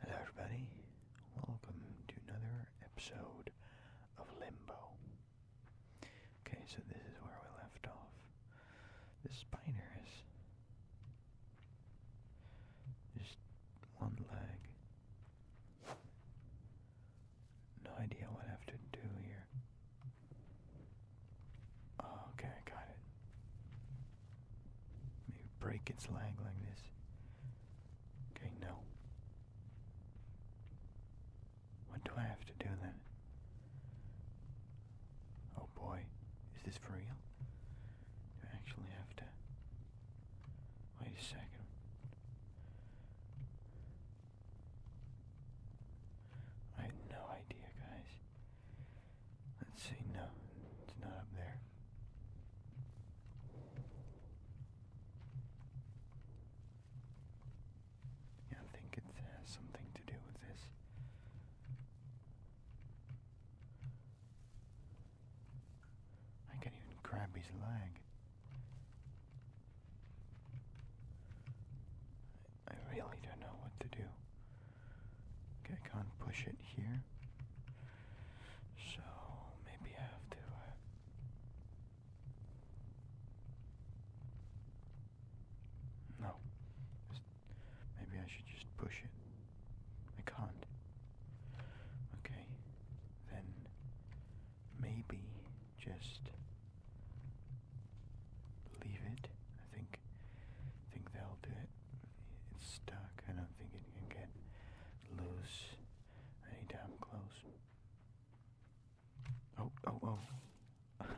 Hello everybody, welcome to another episode of Limbo. Okay, so this is where we left off. The spider is just one leg. No idea what I have to do here. Oh, okay, I got it. Maybe break its leg like this. Okay, no. What do I have to do then? Oh boy, is this for real? Do I actually have to... Wait a second. I have no idea, guys. Let's see, no, it's not up there. Yeah, I think it something to do with this. I can't even grab his leg. I really don't know what to do. Okay, I can't push it here. So maybe I have to. Uh, no. maybe I should just push it. I can't. Okay. Then maybe just leave it. I think think they'll do it. It's stuck. I don't think it can get loose any damn close. Oh, oh, oh.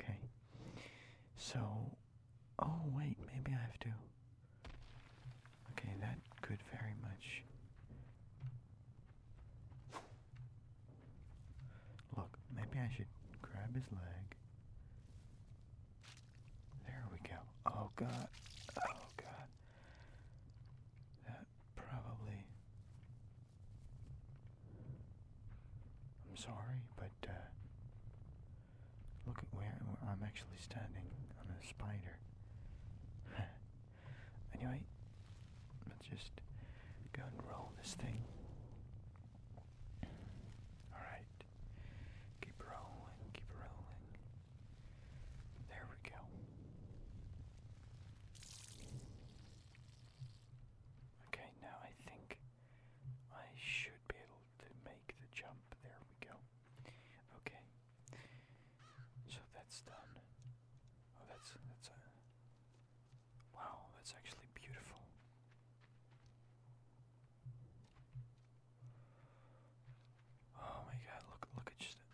okay. So, oh, wait, maybe I have to. Okay, that could very much. Look, maybe I should grab his leg there we go. Oh god. Oh god. That probably. I'm sorry, but uh, look at where I'm actually standing on a spider. anyway, let's just go and roll this thing. Alright. Keep rolling, keep rolling. There we go. Okay, now I think I should be able to make the jump. There we go. Okay. So that's done. Oh, that's that's a wow. That's actually beautiful. Oh my god, look look at just the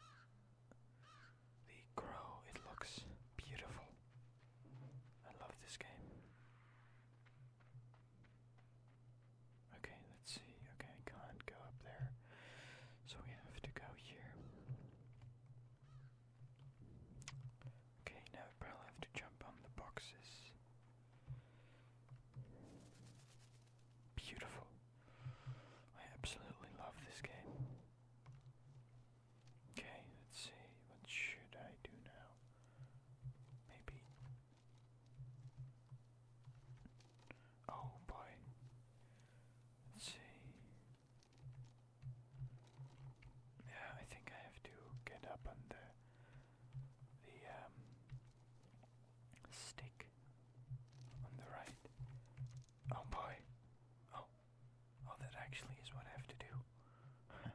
crow. It looks beautiful. I love this game. Okay, let's see. Okay, I can't go up there. So we have to go here. Okay, now I probably have to jump on the boxes. Beautiful. I absolutely love this game. Okay, let's see. What should I do now? Maybe. Oh boy. Let's see. Yeah, I think I have to get up on the the um, stick on the right. Oh boy. Oh. Oh, that actually is what I have to do.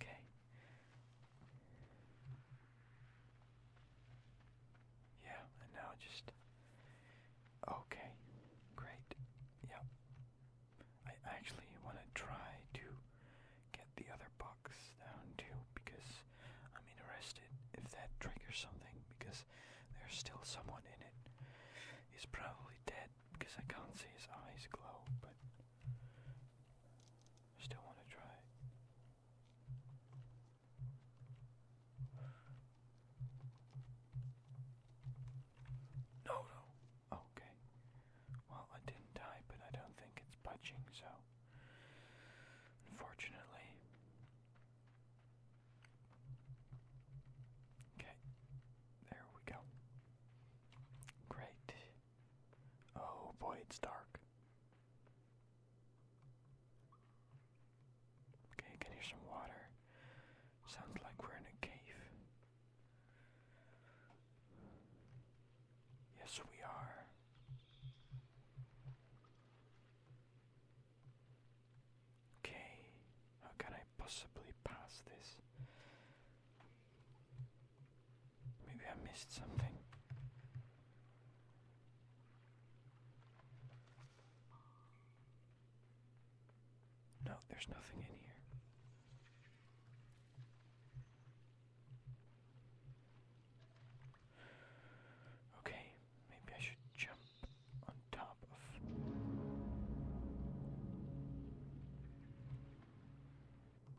okay. Yeah, and now just. Okay, great. Yep. I actually want to try to get the other box down too, because I'm interested if that triggers something, because there's still someone in it. He's probably dead, because I can't see his eyes glow, but I still want to try. No, no. Okay. Well, I didn't die, but I don't think it's budging, so. Unfortunately. Okay. There we go. Great. Oh boy, it's dark. Okay, can hear some water. Sounds like we're in a cave. Yes, we are. Okay, how can I possibly pass this? Maybe I missed something. No, there's nothing in here. Okay, maybe I should jump on top of.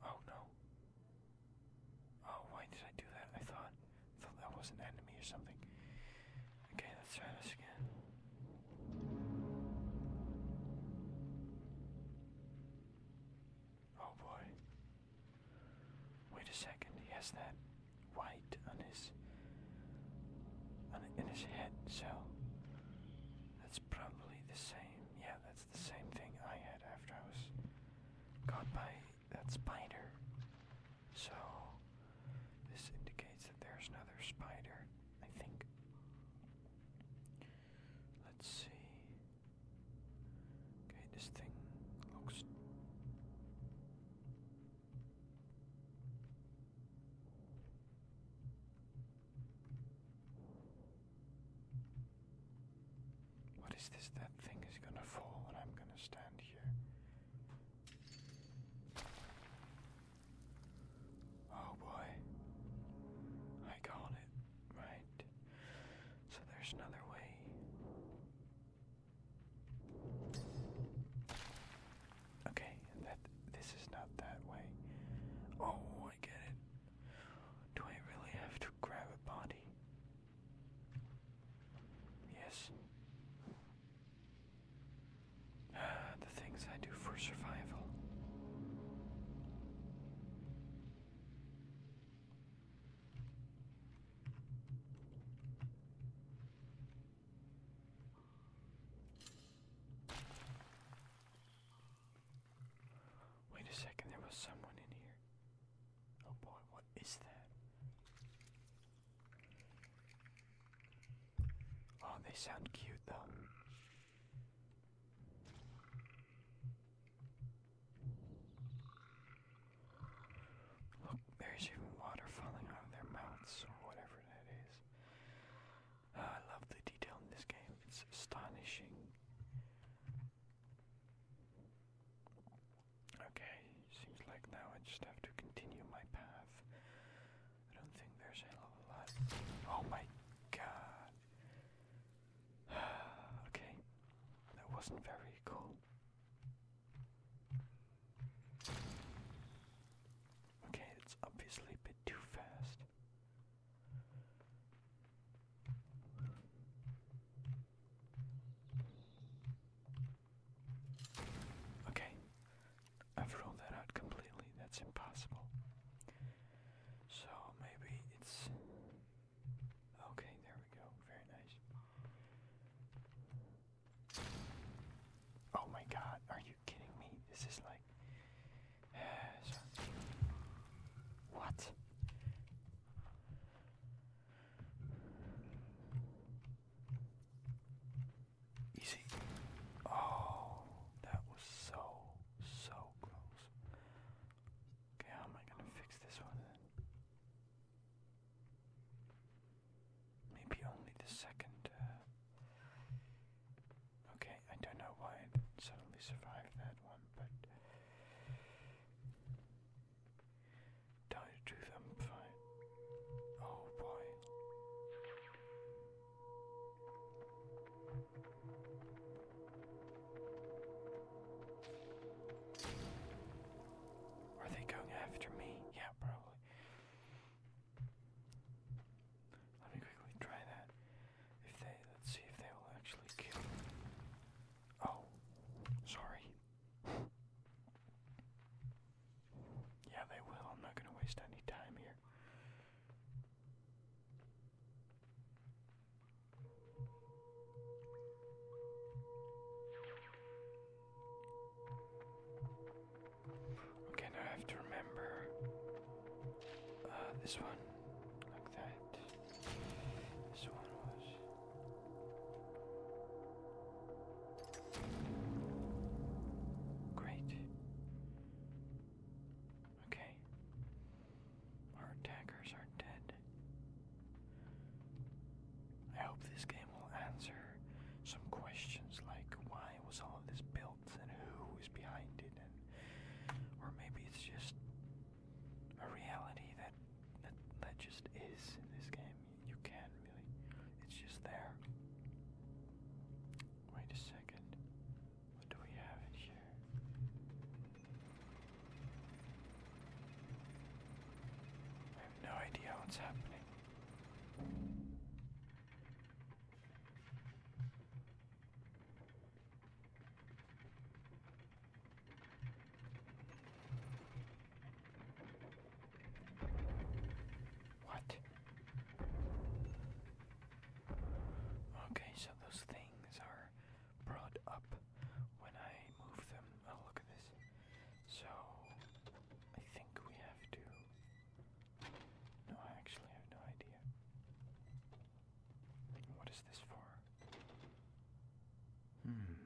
Oh no. Oh, why did I do that? I thought, thought that was an enemy or something. Okay, let's try this again. Oh boy. Wait a second, he has that white on his on in his head, so that's probably the same. Yeah, that's the same thing I had after I was caught by that spider. So this indicates that there's another spider, I think. Let's see. Okay, this thing looks. What is this? That thing is gonna fall, and I'm gonna stand here. Oh boy, I got it. Right. So there's another way. Okay, that this is not that way. Oh, I get it. Do I really have to grab a body? Yes. the things I do for survival. Wait a second, there was someone in here. Oh boy, what is that? Oh, they sound cute though. Look, there's even water falling out of their mouths, or whatever that is. Ah, I love the detail in this game, it's astonishing. Okay, seems like now I just have to continue my path. I don't think there's a lot. Oh my god. okay, that wasn't very cool. Okay, it's obviously a bit too fast. Okay, I've ruled that out completely. That's impossible. So maybe it's Okay, there we go. Very nice. Oh my god, are you kidding me? This is like. what? Easy. Oh, that was so, so close. Okay, how am I gonna fix this one Maybe only the second. Uh, okay, I don't know why it suddenly survived that one, but. Tell you the truth, Oh boy. Are they going after me? Yeah, probably. Let me quickly try that. If they, let's see if they will actually kill. Oh, sorry. yeah, they will. I'm not going to waste any time here. Okay, now I have to remember uh, this one, like that. This one was. Great. Okay. Our attackers are dead. I hope this game will answer some questions like why was all of this built and who is behind it or maybe it's just a reality that that, that just is in this game. You can't really it's just there. Wait a second. What do we have in here? I have no idea what's happening. What? Okay, so those things are brought up when I move them. Oh, look at this. So, I think we have to. No, I actually have no idea. What is this for? Hmm.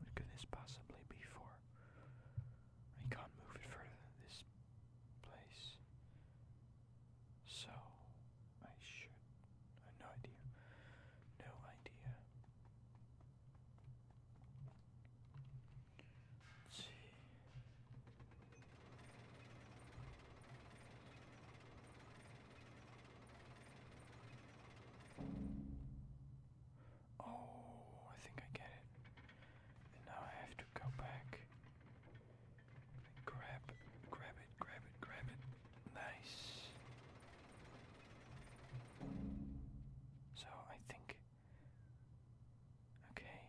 What could this possibly be for? I can't move it further this place. So, I should. have no idea. No idea. see. Oh, I think I get it. now I have to go back Grab, grab it, grab it, grab it. Nice. So I think. Okay.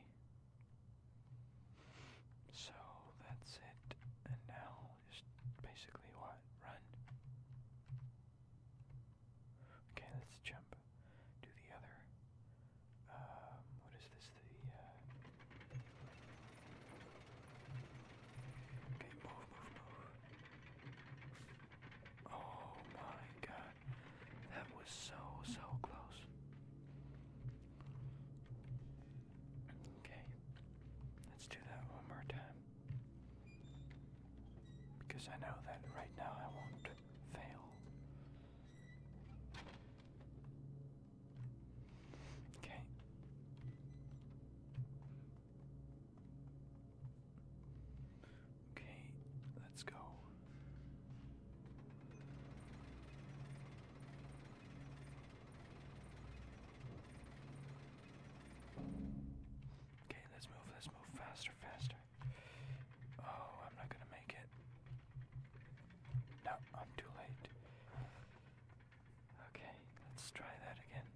So that's it. And now just basically what? Run. Okay, let's jump. Do the other. Um, what is this? Uh, okay, move, move, move. Oh my god. That was so so close. Okay. Let's do that one more time. Because I know that right now I won't fail. Okay. Okay, let's go. Okay, let's move, let's move faster, faster. Oh, I'm not gonna make it. No, I'm too late. Okay, let's try that again.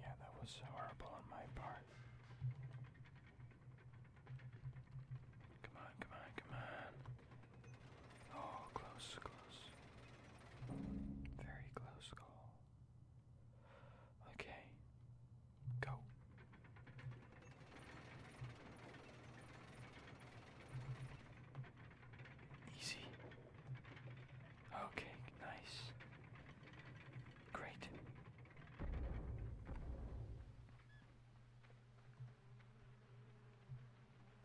Yeah, that was horrible on my part. Come on, come on, come on. Oh, close, close. Very close, Okay, go. Easy. Okay, nice. Great.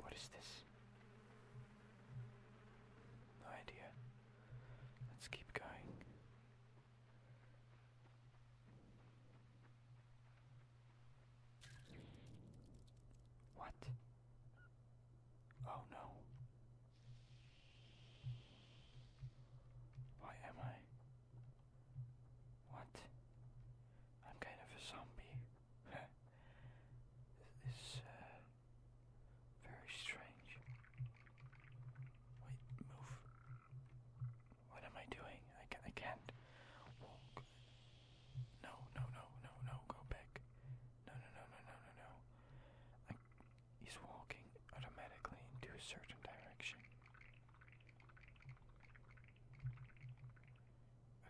What is this? No idea. Let's keep going. What? Oh no. Why am I? What? I'm kind of a zombie. this uh, very strange. Wait, move. What am I doing? I, ca I can't walk. No, no, no, no, no, go back. No, no, no, no, no, no, he's walking automatically into a certain direction.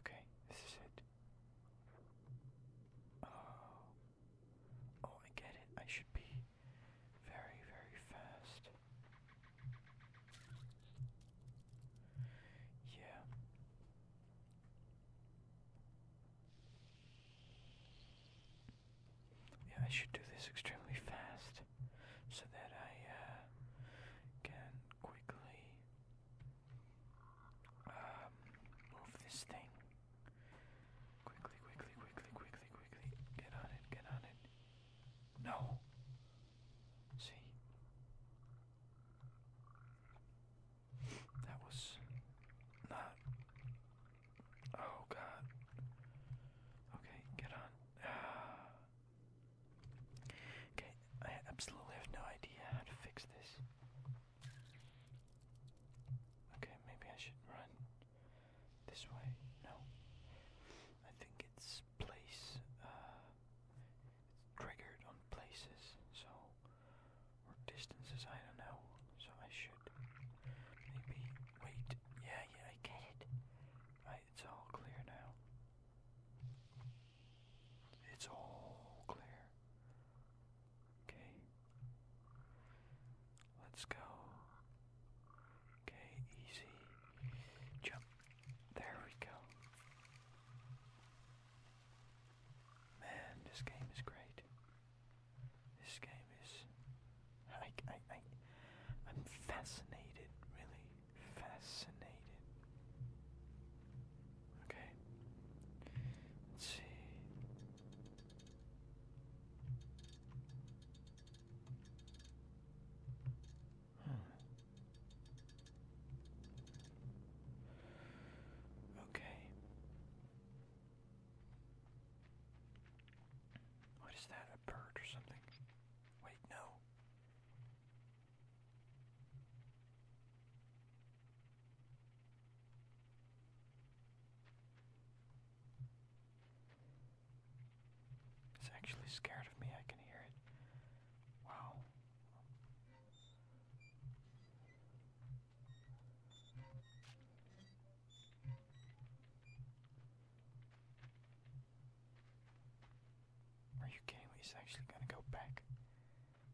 Okay, this is it. Oh. Oh, I get it. I should be very, very fast. Yeah. Yeah, I should do this extremely fast so that I uh, can quickly um, move this thing. Quickly, quickly, quickly, quickly, quickly. Get on it, get on it. No. See? That was not. Oh god. Okay, get on. Ah. Okay, I absolutely have no idea how to fix this. Okay, maybe I should run this way. No. I think it's place, uh, it's triggered on places, so, or distances, I don't know. So I should maybe wait. Yeah, yeah, I get it. it's all clear now. It's all clear. Okay. Let's go. Okay, easy. Jump. There we go. Man, this game is great. This game is. I, I, I, am fascinated, really. Fascinated. Okay. Let's see. Okay. What is that? A bird or something? Wait, no. It's actually scared of me, I can hear it. Wow. Are you kidding me? He's actually gonna go back.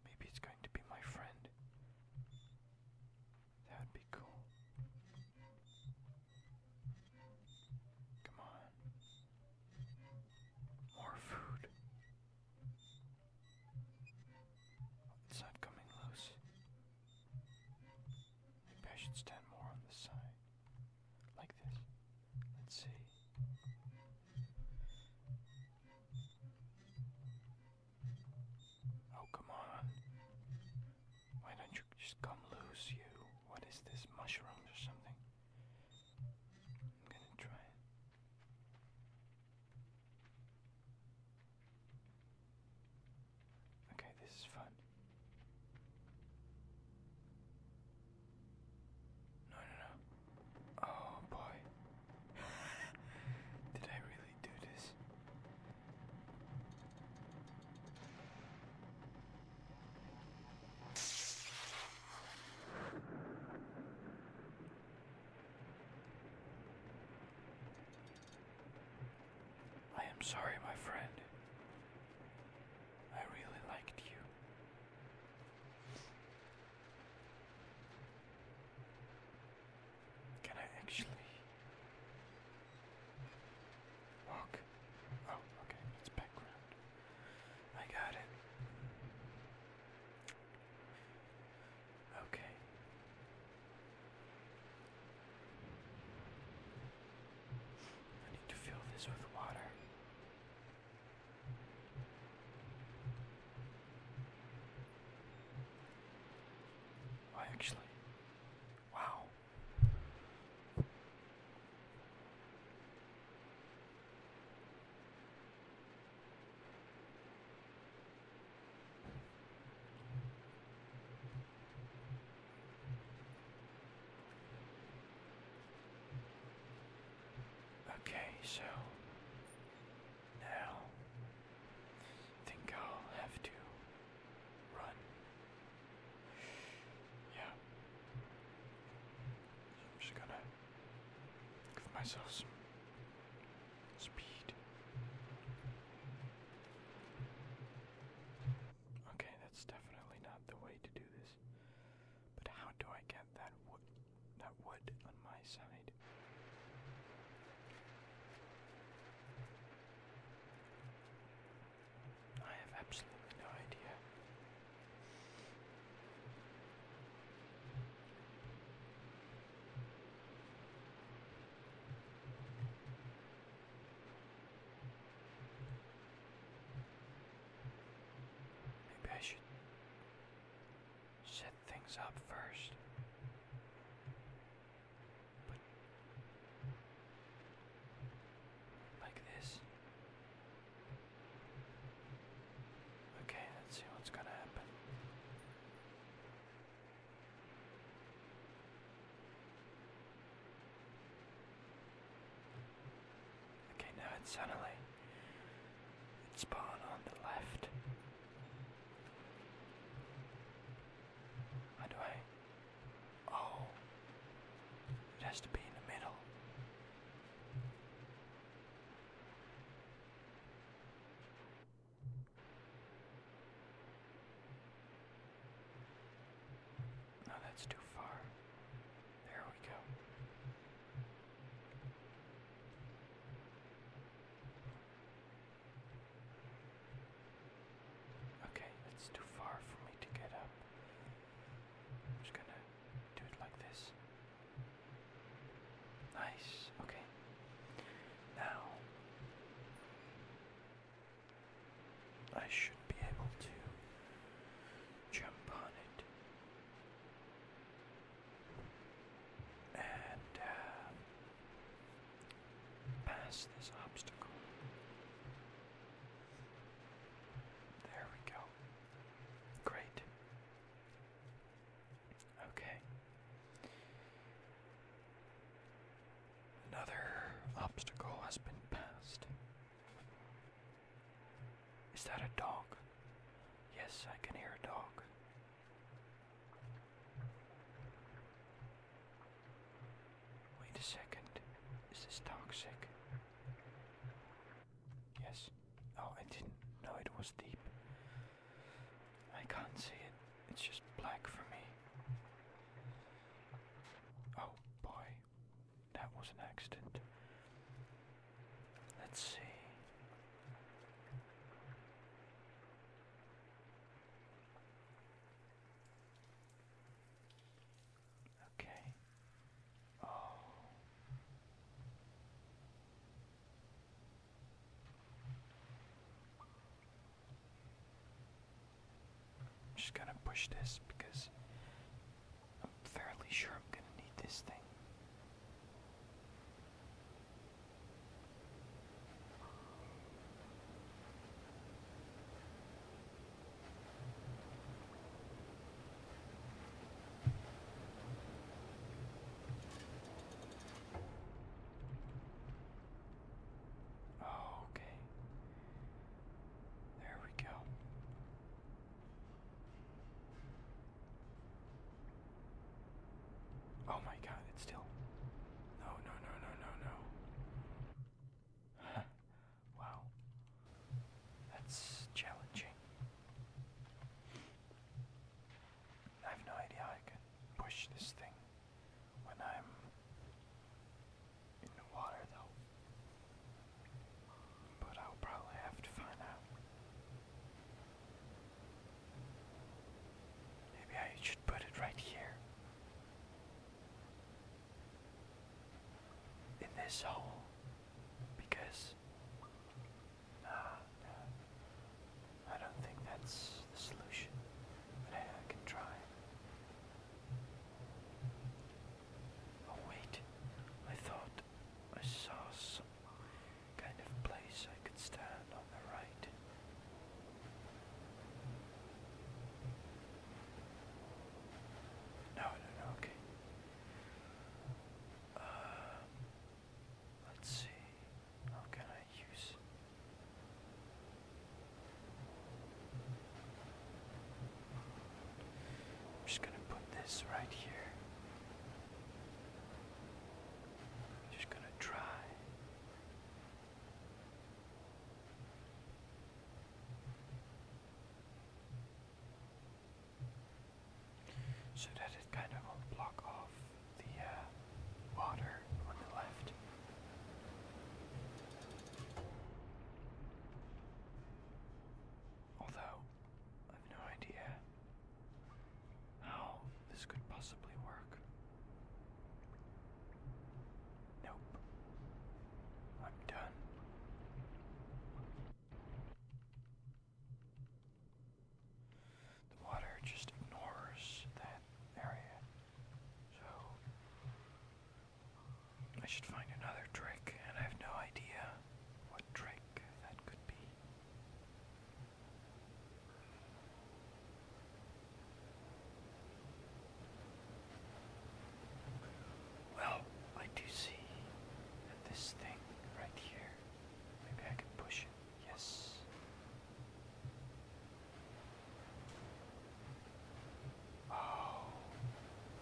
Maybe it's going to be my friend. That would be cool. Come on. More food. It's not coming loose. Maybe I should stand more on the side. Like this. Let's see. Oh, come on. Why don't you just come loose, you? What is this, mushroom or something? I'm gonna try Okay, this is fun. No, no, no. Oh boy. Did I really do this? I am sorry, my friend. I really liked you. Can I actually walk? Oh, okay, it's background. I got it. Okay. I need to fill this with water. I actually. Wow. Okay, so now, I think I'll have to run. Yeah. I'm just gonna give myself some speed. Okay, that's definitely not the way to do this. But how do I get that would, that wood on my side. I have absolutely no idea. Maybe I should set things up first. But like this. Okay, let's see what's gonna happen. Okay, now it's suddenly and spawn on the left. How do I? Oh, it has to be in the middle. No, that's too far. There we go. Okay, it's too far for me to get up. I'm just gonna do it like this. Nice, okay. Now, I should be able to jump on it and uh, pass this obstacle. There we go. Great. Okay. Another obstacle has been passed. Is that a dog? Yes, I can hear a dog. Wait a second. Is this toxic? Yes. Oh, I didn't know it was deep. I can't see it. It's just black for me. Oh boy. That was an accident. Let's see. Okay. Oh. I'm just gonna push this because I'm fairly sure I'm gonna need this thing. Oh, okay. There we go. Oh my god, it's still. No, no, no, no, no, no. wow. That's challenging. I have no idea I can push this thing when I'm in the water though. But I'll probably have to find out. Maybe I should put it right here. In this hole. Because. Uh, I don't think that's the solution, but I can try. Oh wait, I thought I saw some kind of place I could stand on the right. No, no, no, okay. Uh, let's see. How can I use? I'm just gonna put this right here. Just going to try so that it kind of will block off the uh, water on the left. Although, I've no idea how this could possibly work. Nope. I'm done. The water just ignores that area. So, I should find another trick, and I have no idea what trick that could be. Well, I do see that this thing right here, maybe I can push it. Yes. Oh,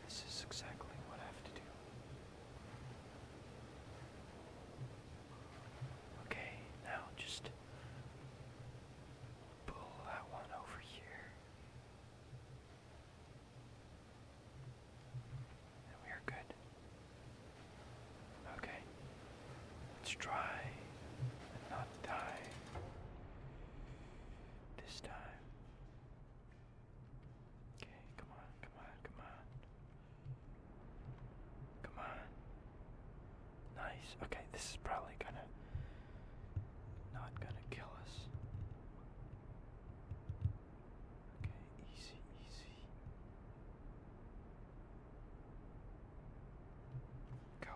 this is exactly what I have to do. Okay, now just pull that one over here. And we are good. Okay. Let's try and not die this time. Okay, come on, come on, come on. Come on. Nice. Okay, this is probably gonna not gonna kill us. Okay, easy, easy. Go.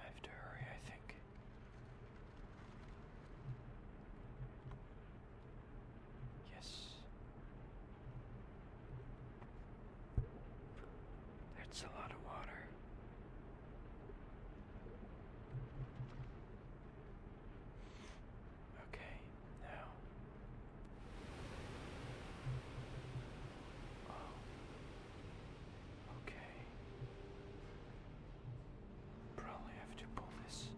I have to hurry, I think. Yes. That's a lot of water. Okay, now. Oh. Okay. Probably have to pull this.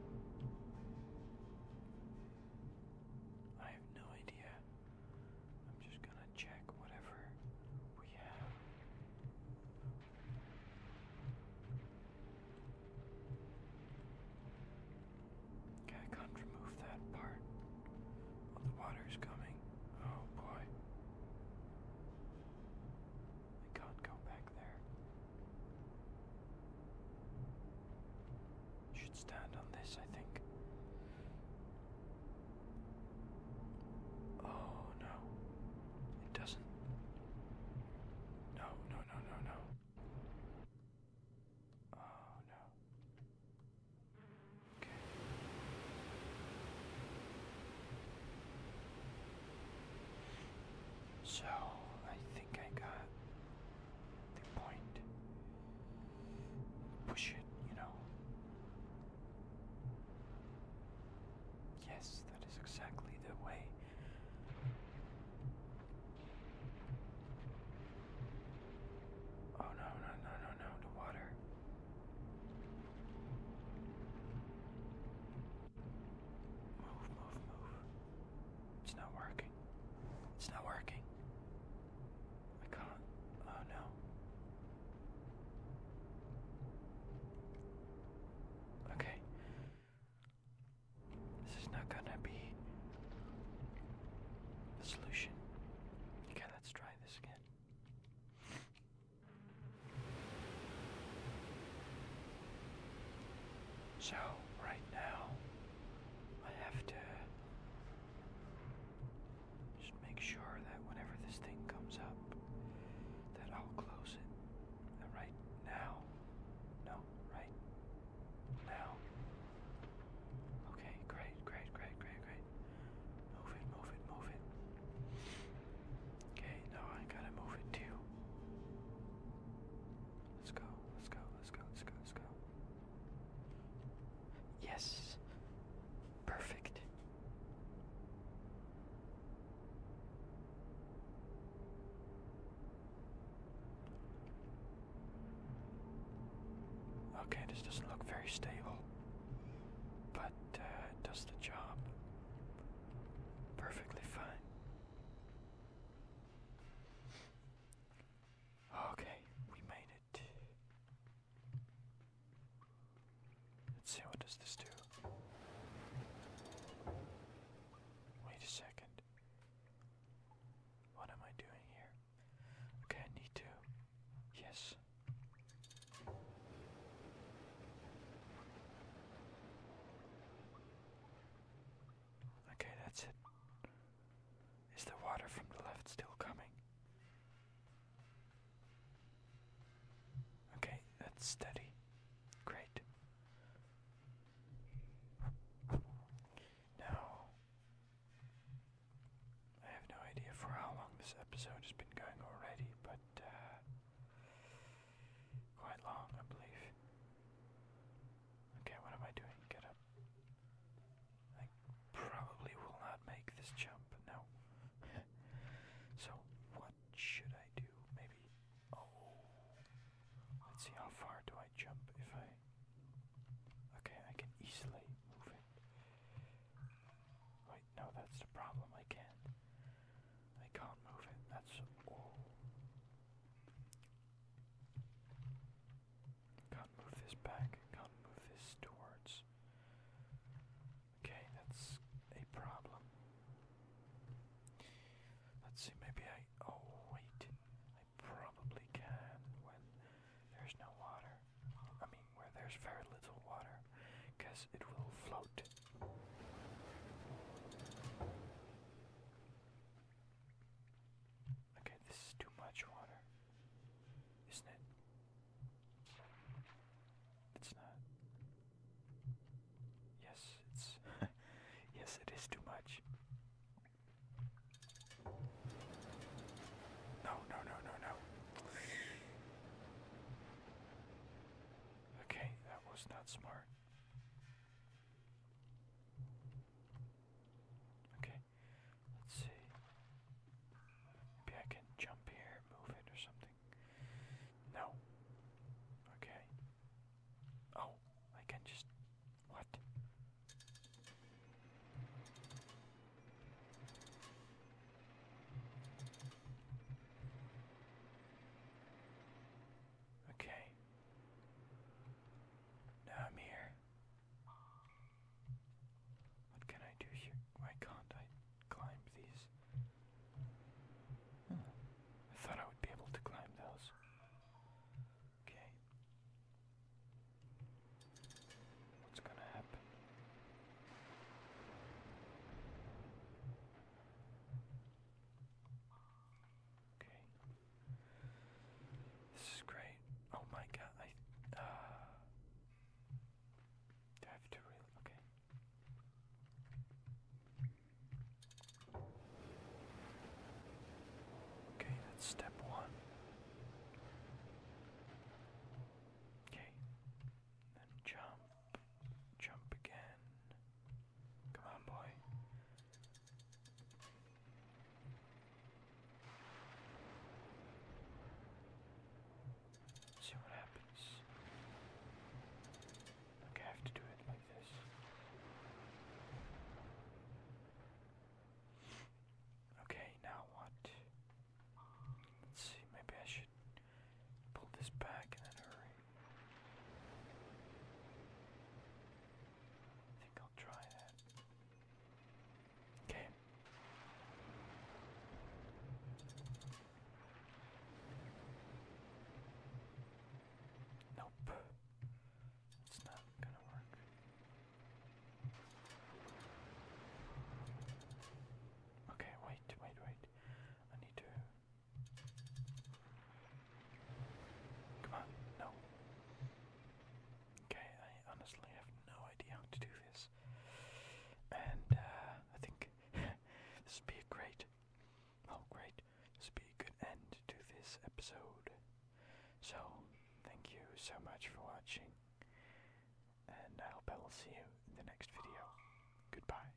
I have no idea. I'm just gonna check whatever we have. Okay, I can't remove that part. Oh, the water's coming. Oh boy. I can't go back there. Should stand on this, I think. Oh no. It doesn't. No, no, no, no, no. Oh no. Okay. So I think I got the point. Push it, you know. Yes, that is exactly the way. Oh no, no, no, no, no, the water. Move, move, move. It's not working. It's not working. I can't. Oh no. Okay. This is not gonna be the solution. Okay, let's try this again. So, right now, I have to just make sure that whenever this thing comes up, that I'll close it. And right now, no, right now. Okay, great, great, great, great, great. Move it, move it, move it. Okay, now I gotta move it too. Let's go, let's go, let's go, let's go, let's go. Yes. Perfect. Okay, this doesn't look very stable, but uh, it does the job perfectly fine. Okay, we made it. Let's see what does this do. Wait a second. What am I doing here? Okay, I need to. Yes. Okay, that's it. Is the water from the left still coming? Okay, that's steady. Great. Now, I have no idea for how long this episode has been going already, but uh, quite long, I believe. Okay, what am I doing? Get up. I probably will not make this jump, no. so, what should I do? Maybe. Oh. Let's see, how far do I jump if I. Okay, I can easily move it. Wait, no, that's the problem, I can't. They can't move it, that's all. Can't move this back, can't move this towards. Okay, that's a problem. Let's see, maybe I. Oh, wait. I probably can when there's no water. I mean, where there's very little water, because it will float. Okay, this is too much water. Isn't it? It's not. Yes, it's. yes, it is too much. No, no, no, no, no. Okay, that was not smart. Okay, let's see. Maybe I can jump here, move it or something. No. Okay. Oh, I can just. What? Okay. Now I'm here. What can I do here? Why can I climb these? Hmm. I thought I would be able to climb those. Okay. What's gonna happen? Okay. This is great. Oh my god, I uh, I have to really okay. Okay, that's step one. Okay. Then jump. Jump again. Come on, boy. see what happens. Okay, I have to do it like this. Okay, now what? Let's see, maybe I should Pull this back and then hurry. I think I'll try that. Okay. Nope. It's not gonna work. Okay, wait, wait, wait. I need to Come on, no. Okay, I honestly have no idea how to do this. And uh, I think this would be a great, oh great, this would be a good end to this episode. So, thank you so much for watching, and I hope I will see you in the next video. Goodbye.